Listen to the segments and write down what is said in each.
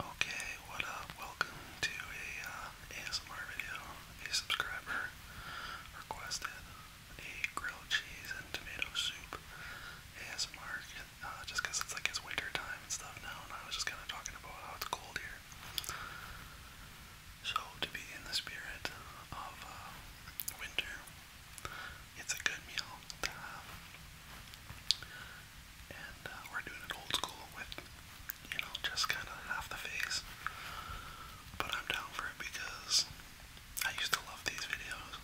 Okay, what up? Welcome to a uh, ASMR video. A subscriber requested a grilled cheese and tomato soup ASMR uh, it's like it's winter time and stuff now, and I was just kind of talking about how it's cold here. So, to be in the spirit of uh, winter, it's a good meal to have. And uh, we're doing it old school with, you know, just kind of half the face. But I'm down for it because I used to love these videos.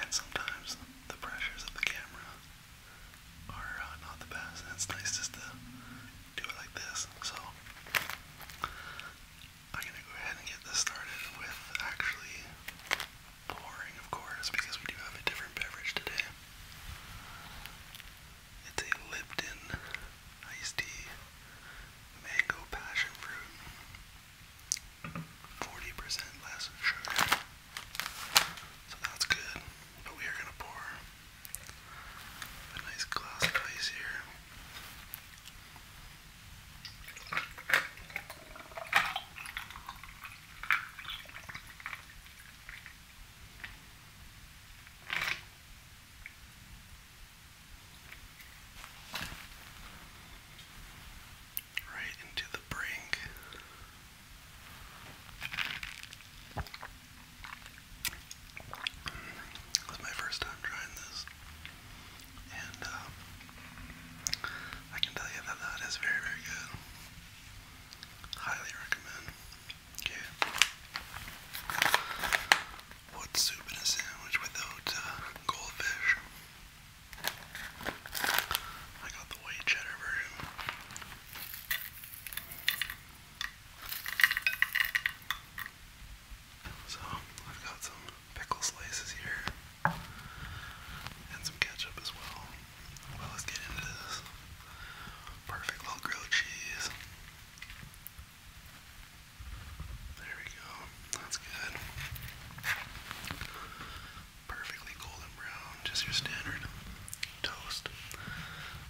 And sometimes the pressures of the camera are uh, not the best. And it's nice just to do it like this. So I'm gonna go ahead and get this started with actually pouring, of course, because we do have a different beverage today. It's a Lipton iced tea, mango passion fruit, 40% less sugar. So that's good, but we are gonna pour a nice glass of ice here. Right into the brink. It was my first time trying this, and um, I can tell you that that is very, very good. Highly recommend. Okay. What soup in a sandwich without uh, goldfish? I got the white cheddar version. So I've got some pickle slices here and some ketchup as well. Well, let's get into this perfect little grilled cheese. There we go. That's good. Perfectly golden brown, just your standard toast.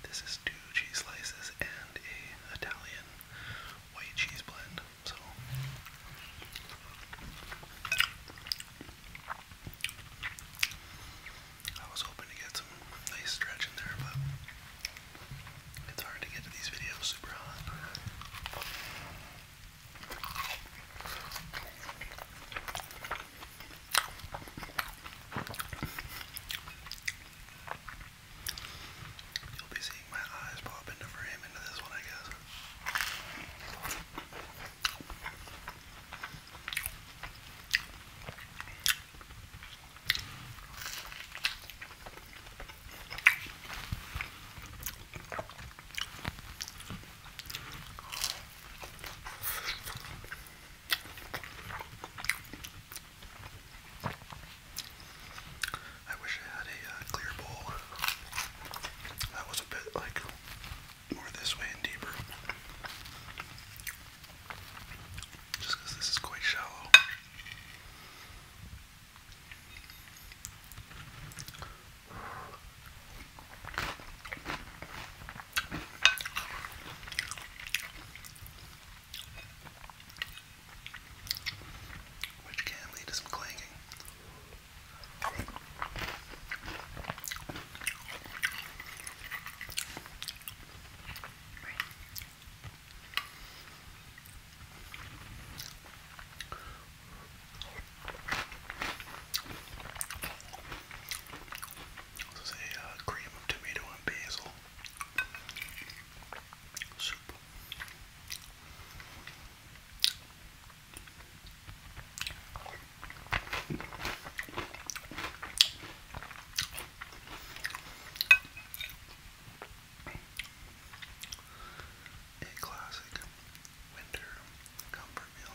This is two cheese slices and and Italian white cheese blend. So I was hoping to get some nice stretch in there, but it's hard to get to these videos super hot. You'll be seeing my eyes pop into frame into this one, I guess. I wish I had a uh, clear bowl that was a bit like more this way and deeper. Just this is quite shallow which can lead to some clanging. This is uh, cream of tomato and basil soup. A classic winter comfort meal.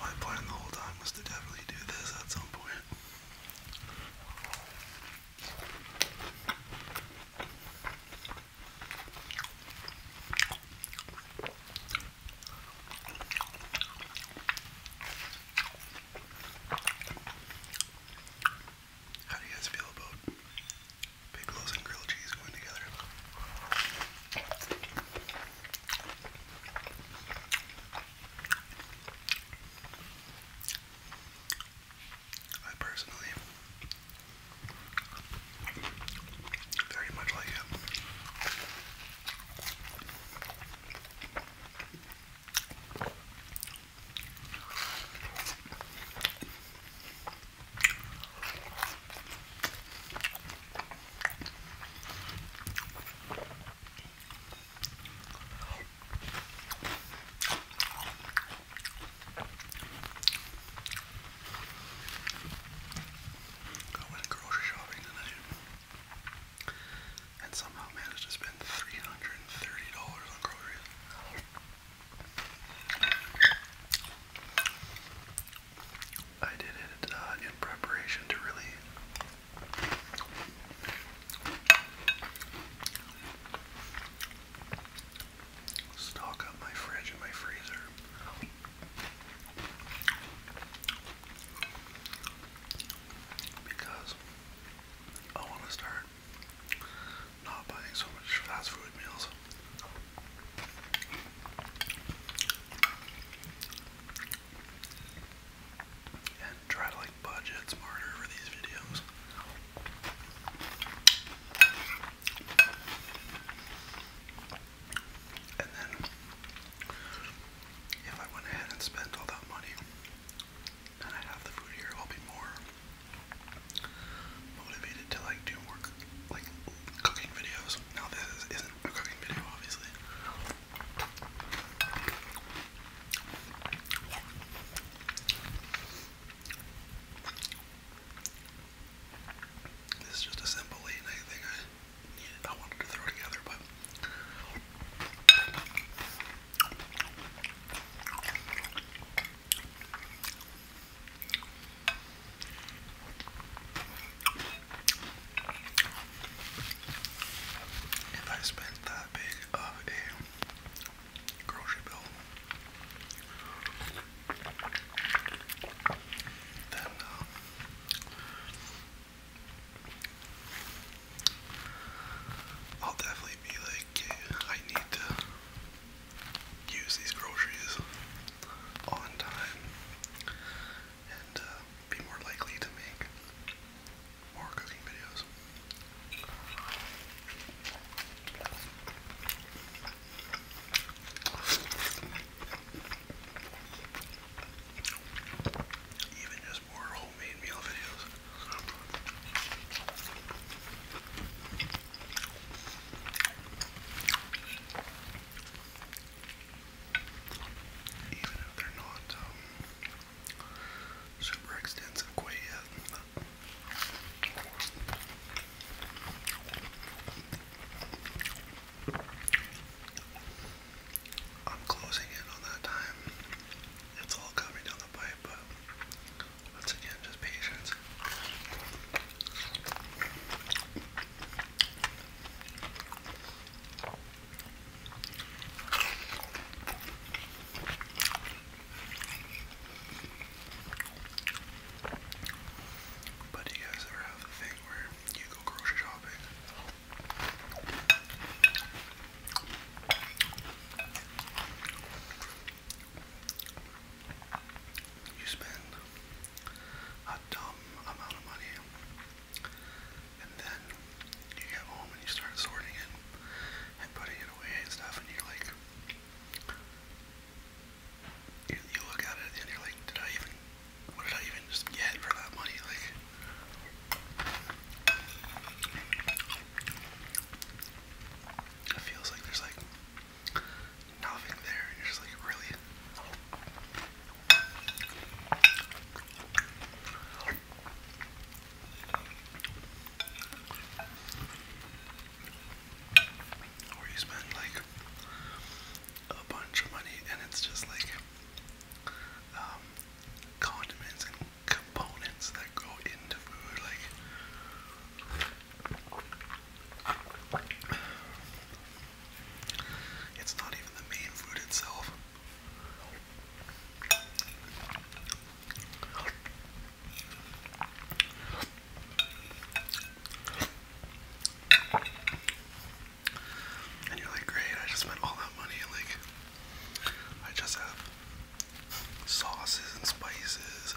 My plan the whole time was to definitely do this at some point. How do you guys feel about pickles and grilled cheese going together? I personally very much like it. I went grocery shopping tonight and somehow managed to spend $330 on groceries. I did it uh, in preparation to really stock up my fridge and my freezer. Because I want to start not buying so much fast food meals and try to like budget smarter for these videos. And then if I went ahead and spent all that money and I have the food here, I'll be more motivated to like do more like cooking videos. Now this isn't a cooking video, obviously. This is just a simple late night thing I wanted to throw together, but. If I spent that big of a grocery bill, then uh, I'll definitely be like, I need to use these groceries on time and uh, be more likely to make more cooking videos. Even just more homemade meal videos even if they're not um, super extensive quite yet. I'm closing in on that time. It's all coming down the pipe, but once again, just patience. But do you guys ever have the thing where you go grocery shopping? You spend a dumb amount of money and then you get home and you start sorting it and putting it away and stuff, and you like, you look at it and you're like, did I even, what did I even just get for that money? Like, it feels like there's like nothing there, and you're just like, really? Where you spend like a bunch of money and it's just like um, condiments and components that go into food, like. It's not even the main food itself. And you're like, great, I just spent all that money, like, I just have sauces and spices.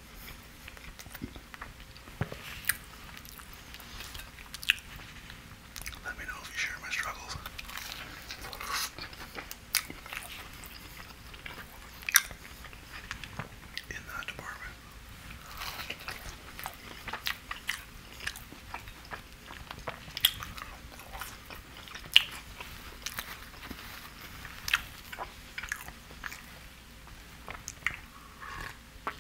Let me know if you share my struggles. In that department. I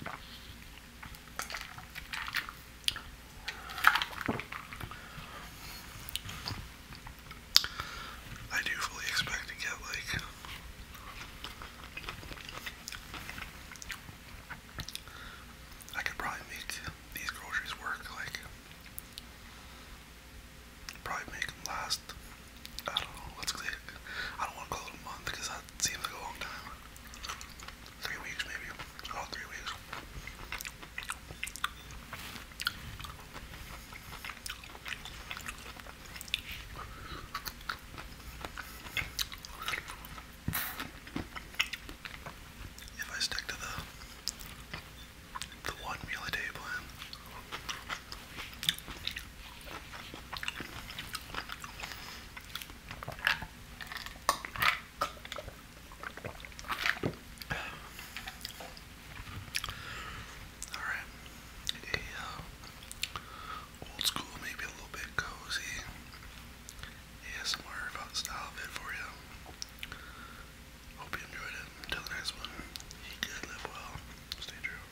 do fully expect to get like I could probably make these groceries work like probably make them last I don't know. Let's say I don't want to call it a month because that seems like a long time. Three weeks maybe. About three weeks. If I stick to the the one meal a day plan, all right, a uh, old school, maybe a little bit cozy ASMR about style bit for you. Hope you enjoyed it. Until the next one, live well, stay true.